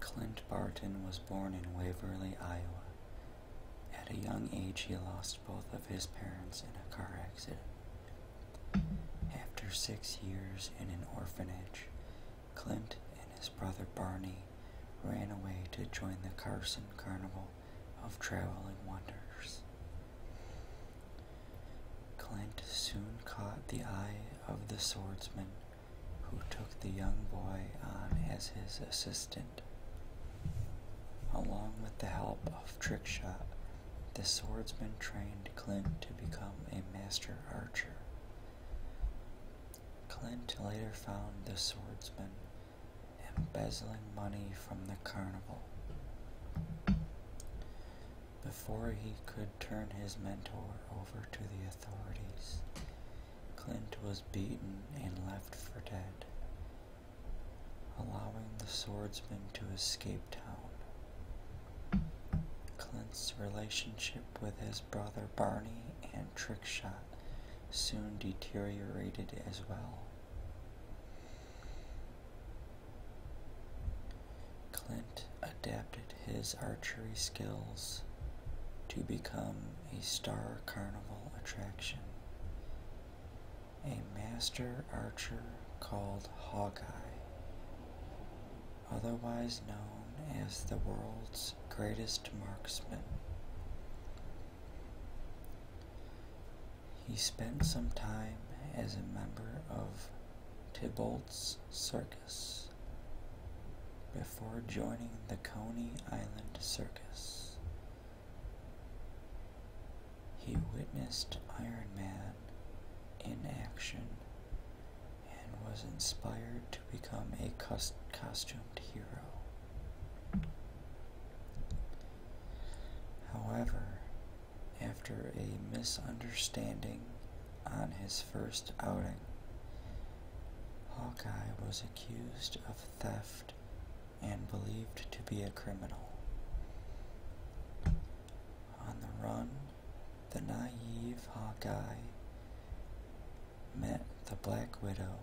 Clint Barton was born in Waverly, Iowa. At a young age he lost both of his parents in a car accident. After six years in an orphanage, Clint and his brother Barney ran away to join the Carson Carnival of Traveling Wonders. Clint soon caught the eye of the swordsman who took the young boy on as his assistant. Along with the help of Trickshot, the swordsman trained Clint to become a master archer. Clint later found the swordsman embezzling money from the carnival. Before he could would turn his mentor over to the authorities. Clint was beaten and left for dead, allowing the swordsman to escape town. Clint's relationship with his brother Barney and Trickshot soon deteriorated as well. Clint adapted his archery skills to become a star carnival attraction. A master archer called Hawkeye, otherwise known as the world's greatest marksman. He spent some time as a member of Tybalt's circus before joining the Coney Island Circus. He witnessed Iron Man in action and was inspired to become a costumed hero. However, after a misunderstanding on his first outing. Hawkeye was accused of theft and believed to be a criminal. On the run, the naive Hawkeye met the Black Widow,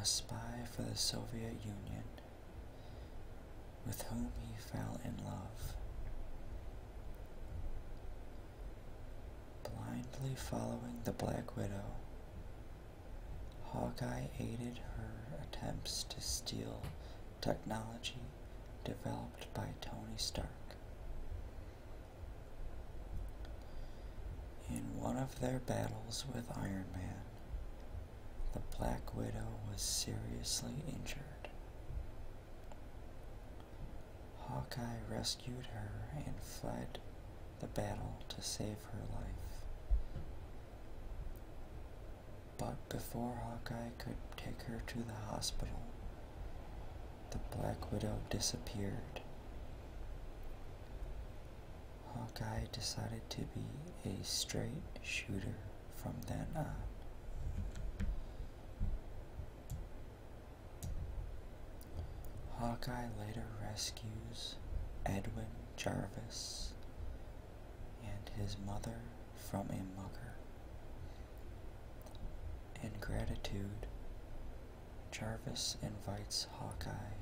a spy for the Soviet Union, with whom he fell in love. Blindly following the Black Widow, Hawkeye aided her attempts to steal technology developed by Tony Stark. In one of their battles with Iron Man, the Black Widow was seriously injured. Hawkeye rescued her and fled the battle to save her life. But before Hawkeye could take her to the hospital, the Black Widow disappeared. Hawkeye decided to be a straight shooter from then on. Hawkeye later rescues Edwin Jarvis and his mother from a mugger. In gratitude, Jarvis invites Hawkeye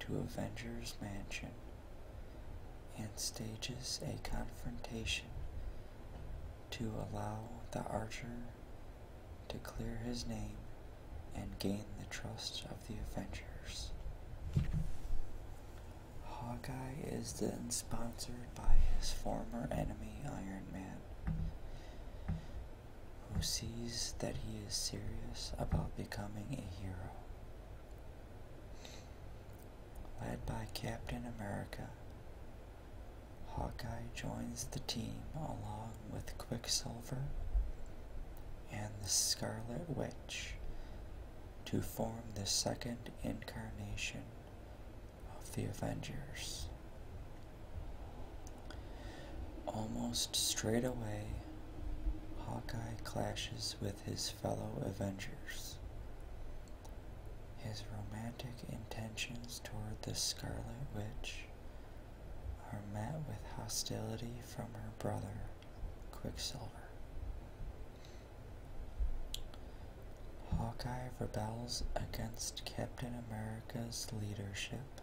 to Avengers Mansion and stages a confrontation to allow the archer to clear his name and gain the trust of the Avengers. Hawkeye is then sponsored by his former enemy Iron Man, who sees that he is serious about becoming a hero. Led by Captain America, Hawkeye joins the team along with Quicksilver and the Scarlet Witch to form the second incarnation of the Avengers. Almost straight away, Hawkeye clashes with his fellow Avengers. His romantic intentions toward the Scarlet Witch are met with hostility from her brother, Quicksilver. Hawkeye rebels against Captain America's leadership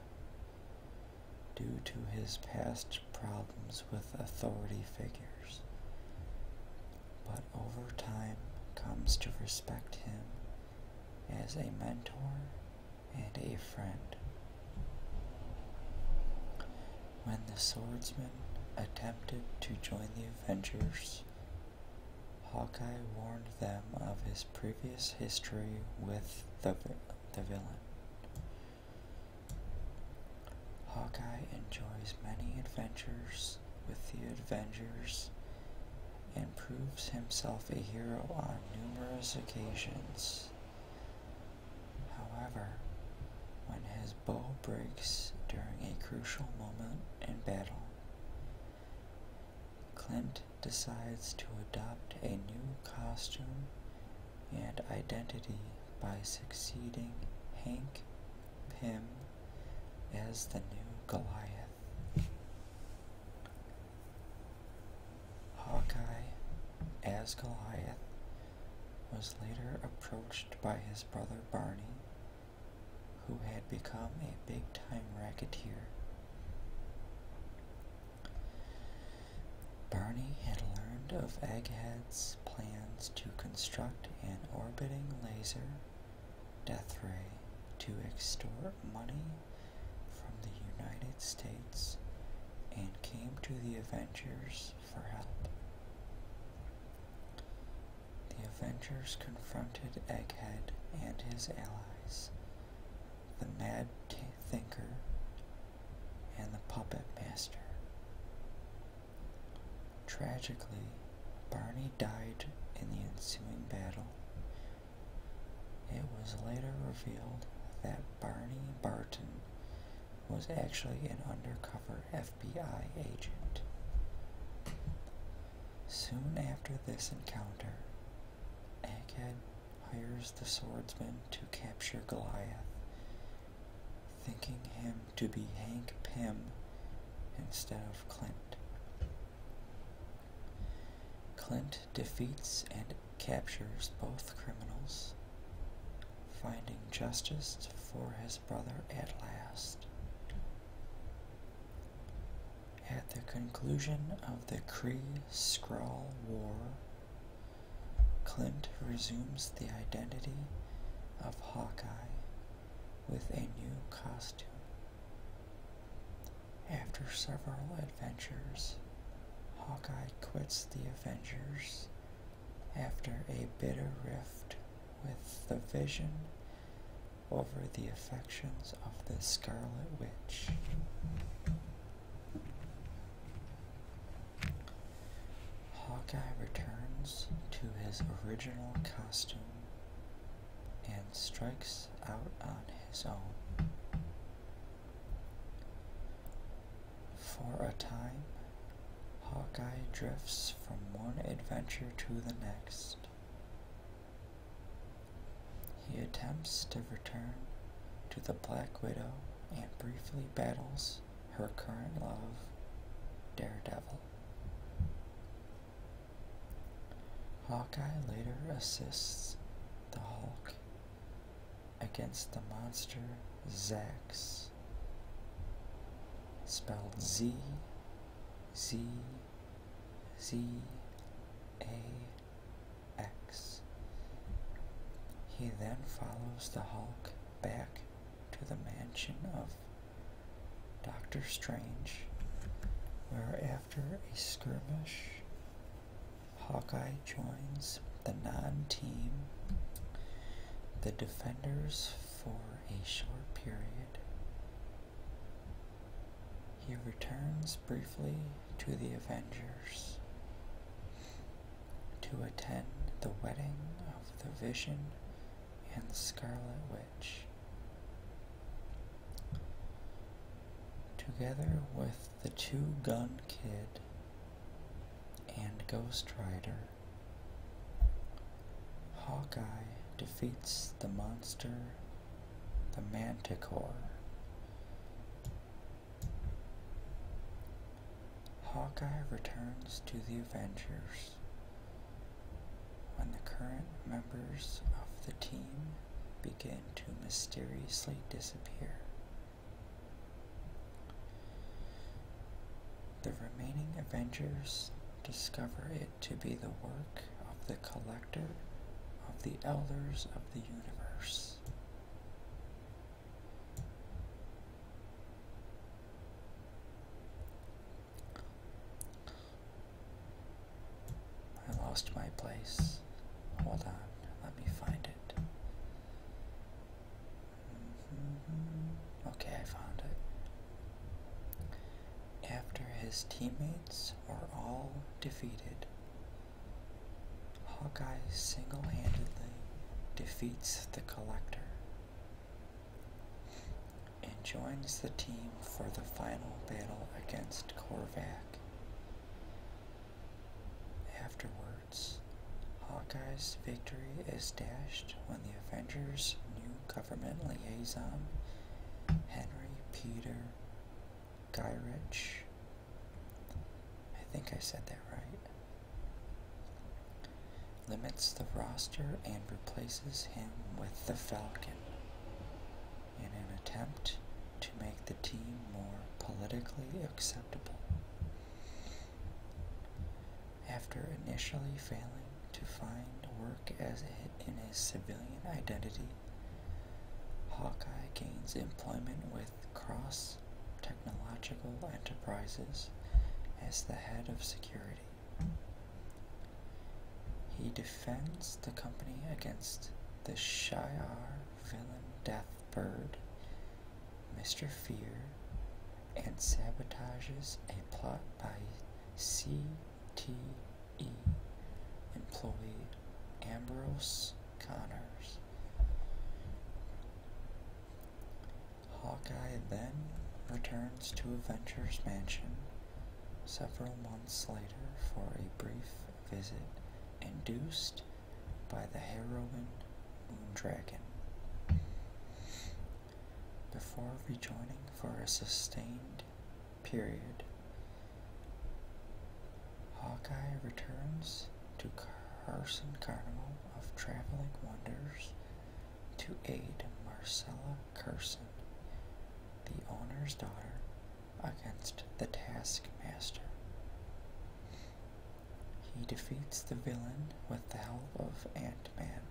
due to his past problems with authority figures, but over time comes to respect him as a mentor and a friend. When the swordsman attempted to join the Avengers, Hawkeye warned them of his previous history with the, the villain. Hawkeye enjoys many adventures with the Avengers and proves himself a hero on numerous occasions. However, when his bow breaks during a crucial moment in battle, Clint decides to adopt a new costume and identity by succeeding Hank Pym, as the new Goliath. Hawkeye, as Goliath, was later approached by his brother Barney, who had become a big time racketeer. Barney had learned of Egghead's plans to construct an orbiting laser death ray to extort money from the United States and came to the Avengers for help. The Avengers confronted Egghead and his allies, the Mad Thinker and the Puppet Master. Tragically, Barney died in the ensuing battle. It was later revealed that Barney Barton was actually an undercover FBI agent. Soon after this encounter, Egghead hires the swordsman to capture Goliath, thinking him to be Hank Pym instead of Clint. Clint defeats and captures both criminals, finding justice for his brother at last. At the conclusion of the Kree-Skrull War, Clint resumes the identity of Hawkeye with a new costume. After several adventures, Hawkeye quits the Avengers after a bitter rift with the Vision over the affections of the Scarlet Witch. Hawkeye returns to his original costume and strikes out on his own. For a time, Hawkeye drifts from one adventure to the next. He attempts to return to the Black Widow and briefly battles her current love, Daredevil. Hawkeye later assists the Hulk against the monster Zax, spelled Z Z Z A X. He then follows the Hulk back to the mansion of Doctor Strange, where after a skirmish, Hawkeye joins the non team, the Defenders, for a short period. He returns briefly to the Avengers to attend the wedding of the Vision and Scarlet Witch. Together with the Two Gun Kid and Ghost Rider, Hawkeye defeats the monster, the Manticore. Hawkeye returns to the Avengers when the current members of the team begin to mysteriously disappear, the remaining Avengers discover it to be the work of the collector of the elders of the universe. I lost my place. Hold on, let me find it. Mm-hmm. Okay, I found it. After his teammates are all defeated, Hawkeye single handedly defeats the Collector and joins the team for the final battle against Korvac. Afterwards, Hawkeye's victory is dashed when the Avengers' new government liaison, Henry Peter Gyrich, I think I said that right, limits the roster and replaces him with the Falcon in an attempt to make the team more politically acceptable. After initially failing to find work as in his civilian identity, Hawkeye gains employment with Cross Technological Enterprises as the head of security. He defends the company against the Shi'ar villain Deathbird, Mr. Fear, and sabotages a plot by CTE employee Ambrose Connors. Hawkeye then returns to Adventure's Mansion several months later for a brief visit induced by the heroine Moondragon. Before rejoining for a sustained period, Hawkeye returns to Carson Carnival of Traveling Wonders to aid Marcella Carson, the owner's daughter, against the taskmaster. He defeats the villain with the help of Ant-Man.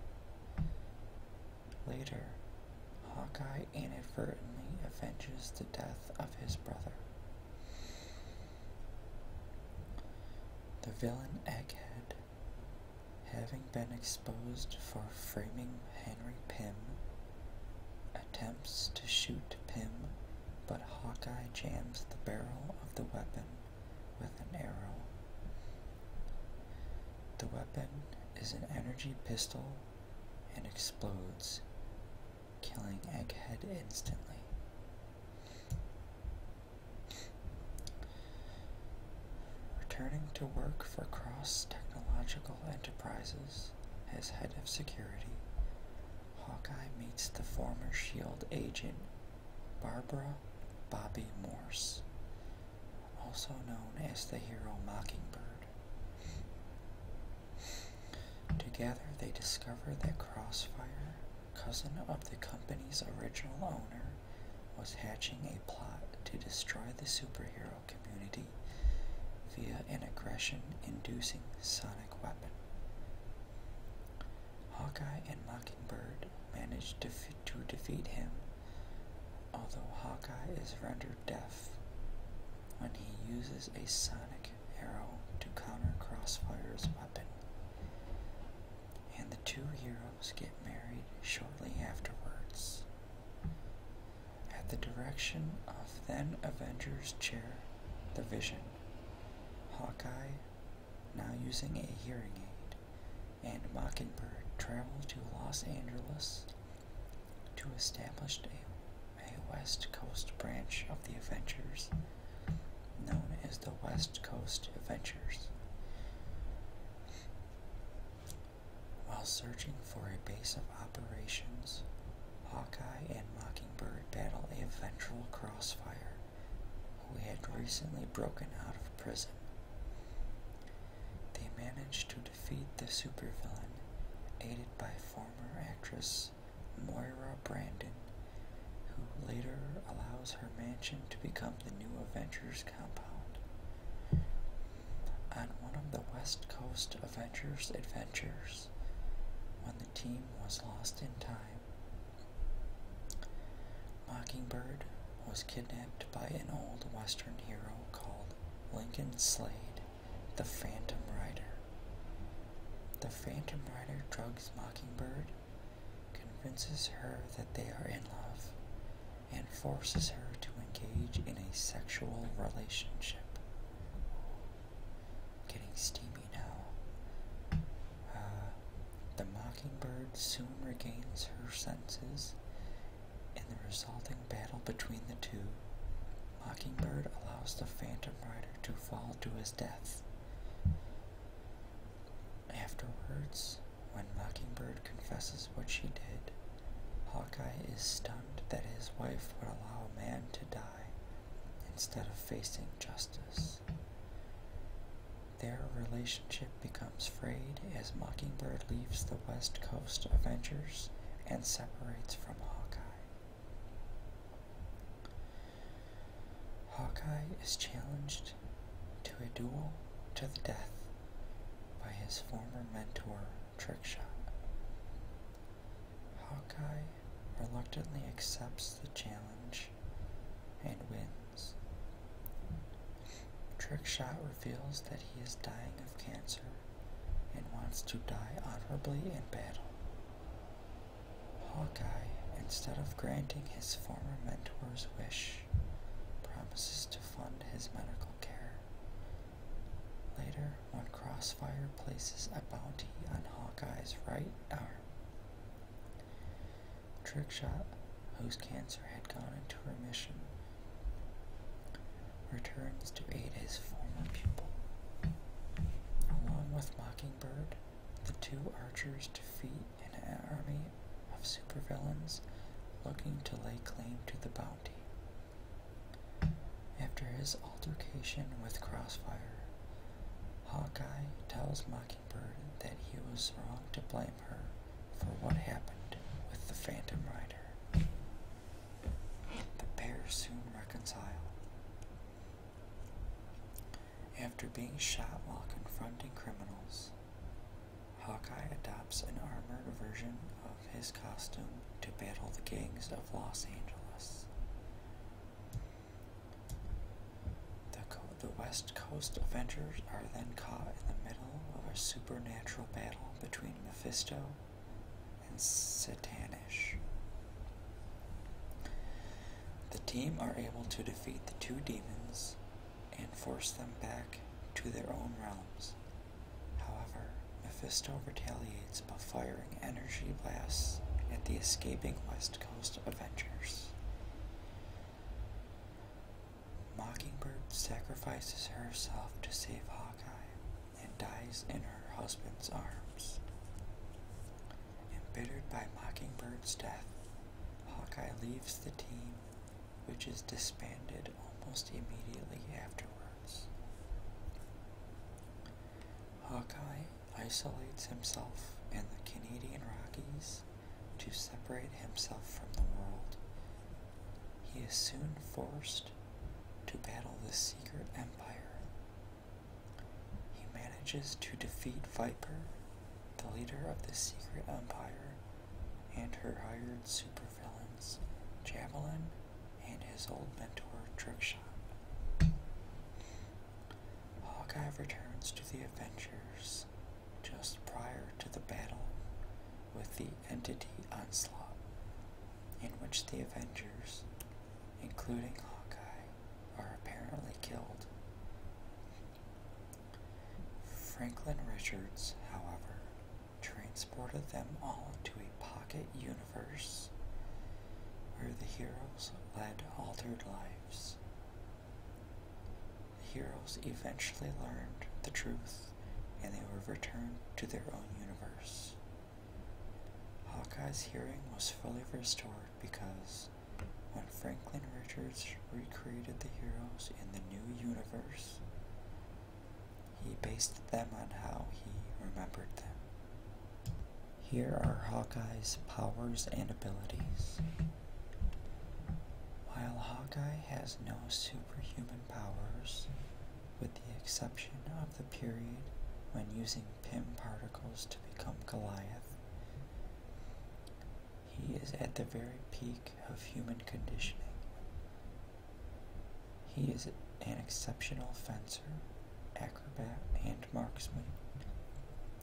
Later, Hawkeye inadvertently avenges the death of his brother. The villain Egghead Having been exposed for framing Henry Pym, attempts to shoot Pym, but Hawkeye jams the barrel of the weapon with an arrow. The weapon is an energy pistol and explodes, killing Egghead instantly. Returning to work for Cross Technological Enterprises as head of security, Hawkeye meets the former SHIELD agent Barbara Bobby Morse, also known as the hero Mockingbird. Together, they discover that Crossfire, cousin of the company's original owner, was hatching a plot to destroy the superhero community via an aggression-inducing sonic weapon. Hawkeye and Mockingbird managed to, to defeat him, although Hawkeye is rendered deaf when he uses a sonic arrow to counter Crossfire's weapon and the two heroes get married shortly afterwards. At the direction of then Avengers chair, The Vision, Hawkeye, now using a hearing aid, and Mockingbird travel to Los Angeles to establish a, a West Coast branch of the Avengers known as the West Coast Adventures. While searching for a base of operations, Hawkeye and Mockingbird battle a ventral crossfire who had recently broken out of prison. They manage to defeat the supervillain, aided by former actress Moira Brandon who later allows her mansion to become the new Avengers compound. On one of the West Coast Avengers adventures, when the team was lost in time, Mockingbird was kidnapped by an old Western hero called Lincoln Slade, the Phantom Rider. The Phantom Rider drugs Mockingbird convinces her that they are in love, and forces her to engage in a sexual relationship. Getting steamy now. Uh, the mockingbird soon regains her senses. and the resulting battle between the two, Mockingbird allows the Phantom Rider to fall to his death. Afterwards, when Mockingbird confesses what she did, Hawkeye is stunned that his wife would allow a man to die instead of facing justice. Their relationship becomes frayed as Mockingbird leaves the West Coast Avengers and separates from Hawkeye. Hawkeye is challenged to a duel to the death by his former mentor, Trickshot. Hawkeye reluctantly accepts the challenge and wins. Trickshot reveals that he is dying of cancer and wants to die honorably in battle. Hawkeye, instead of granting his former mentor's wish, promises to fund his medical care. Later, when Crossfire places a bounty on Hawkeye's right arm, Trickshot, whose cancer had gone into remission, returns to aid his former pupil. Along with Mockingbird, the two archers defeat an army of supervillains looking to lay claim to the bounty. After his altercation with Crossfire, Hawkeye tells Mockingbird that he was wrong to blame her for what happened with the Phantom Rider. The pair soon reconcile. After being shot while confronting criminals, Hawkeye adopts an armored version of his costume to battle the gangs of Los Angeles. The, West Coast Avengers are then caught in the middle of a supernatural battle between Mephisto and Satanish. The team are able to defeat the two demons and force them back to their own realms. However, Mephisto retaliates by firing energy blasts at the escaping West Coast Avengers. Mockingbird sacrifices herself to save Hawkeye and dies in her husband's arms. Embittered by Mockingbird's death, Hawkeye leaves the team, which is disbanded almost immediately afterwards. Hawkeye isolates himself in the Canadian Rockies to separate himself from the world. He is soon forced to battle the secret empire he manages to defeat Viper, the leader of the Secret Empire, and her hired supervillains, Javelin and his old mentor, Trickshot. Hawkeye returns to the Avengers just prior to the battle with the Entity Onslaught, in which the Avengers, including Hawkeye, are apparently killed. Franklin Richards, however, transported them all to a pocket universe where the heroes led altered lives. The heroes eventually learned the truth and they were returned to their own universe. Hawkeye's hearing was fully restored because when Franklin Richards recreated the heroes in the new universe, he based them on how he remembered them. Here are Hawkeye's powers and abilities. While Hawkeye has no superhuman powers, with the exception of the period when using Pym particles to become Goliath, he is at the very peak of human conditioning. He is an exceptional fencer, acrobat, and marksman,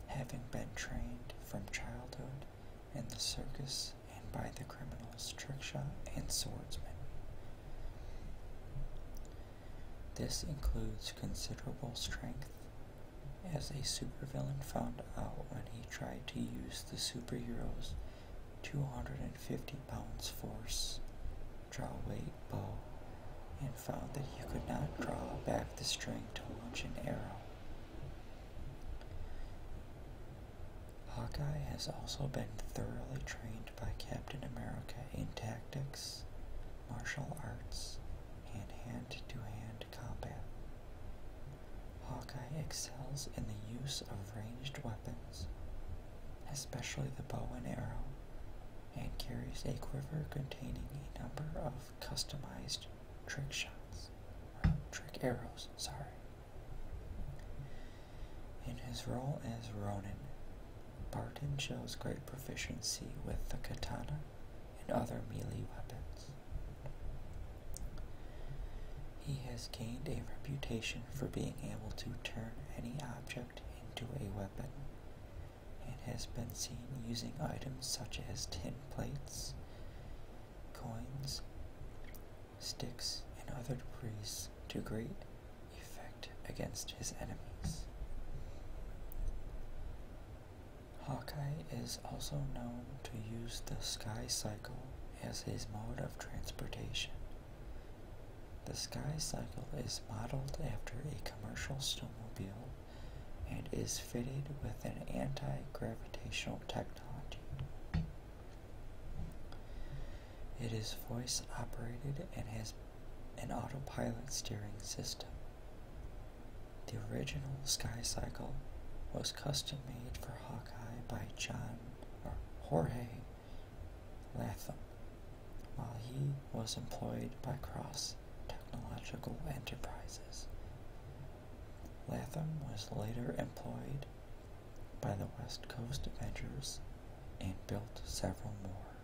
having been trained from childhood in the circus and by the criminals trickshot and swordsman. This includes considerable strength, as a supervillain found out when he tried to use the superhero's 250 pounds force draw weight bow and found that he could not draw back the string to launch an arrow. Hawkeye has also been thoroughly trained by Captain America in tactics, martial arts, and hand-to-hand combat. Hawkeye excels in the use of ranged weapons, especially the bow and arrow, and carries a quiver containing a number of customized trick shots, or uh, trick arrows, sorry. In his role as Ronin, Barton shows great proficiency with the katana and other melee weapons. He has gained a reputation for being able to turn any object into a weapon and has been seen using items such as tin plates, coins, sticks, and other debris to great effect against his enemies. Hawkeye is also known to use the sky cycle as his mode of transportation. The sky cycle is modeled after a commercial snowmobile and is fitted with an anti-gravitational technology. It is voice operated and has an autopilot steering system the original Sky Cycle was custom made for Hawkeye by John or Jorge Latham, while he was employed by Cross Technological Enterprises. Latham was later employed by the West Coast Avengers and built several more.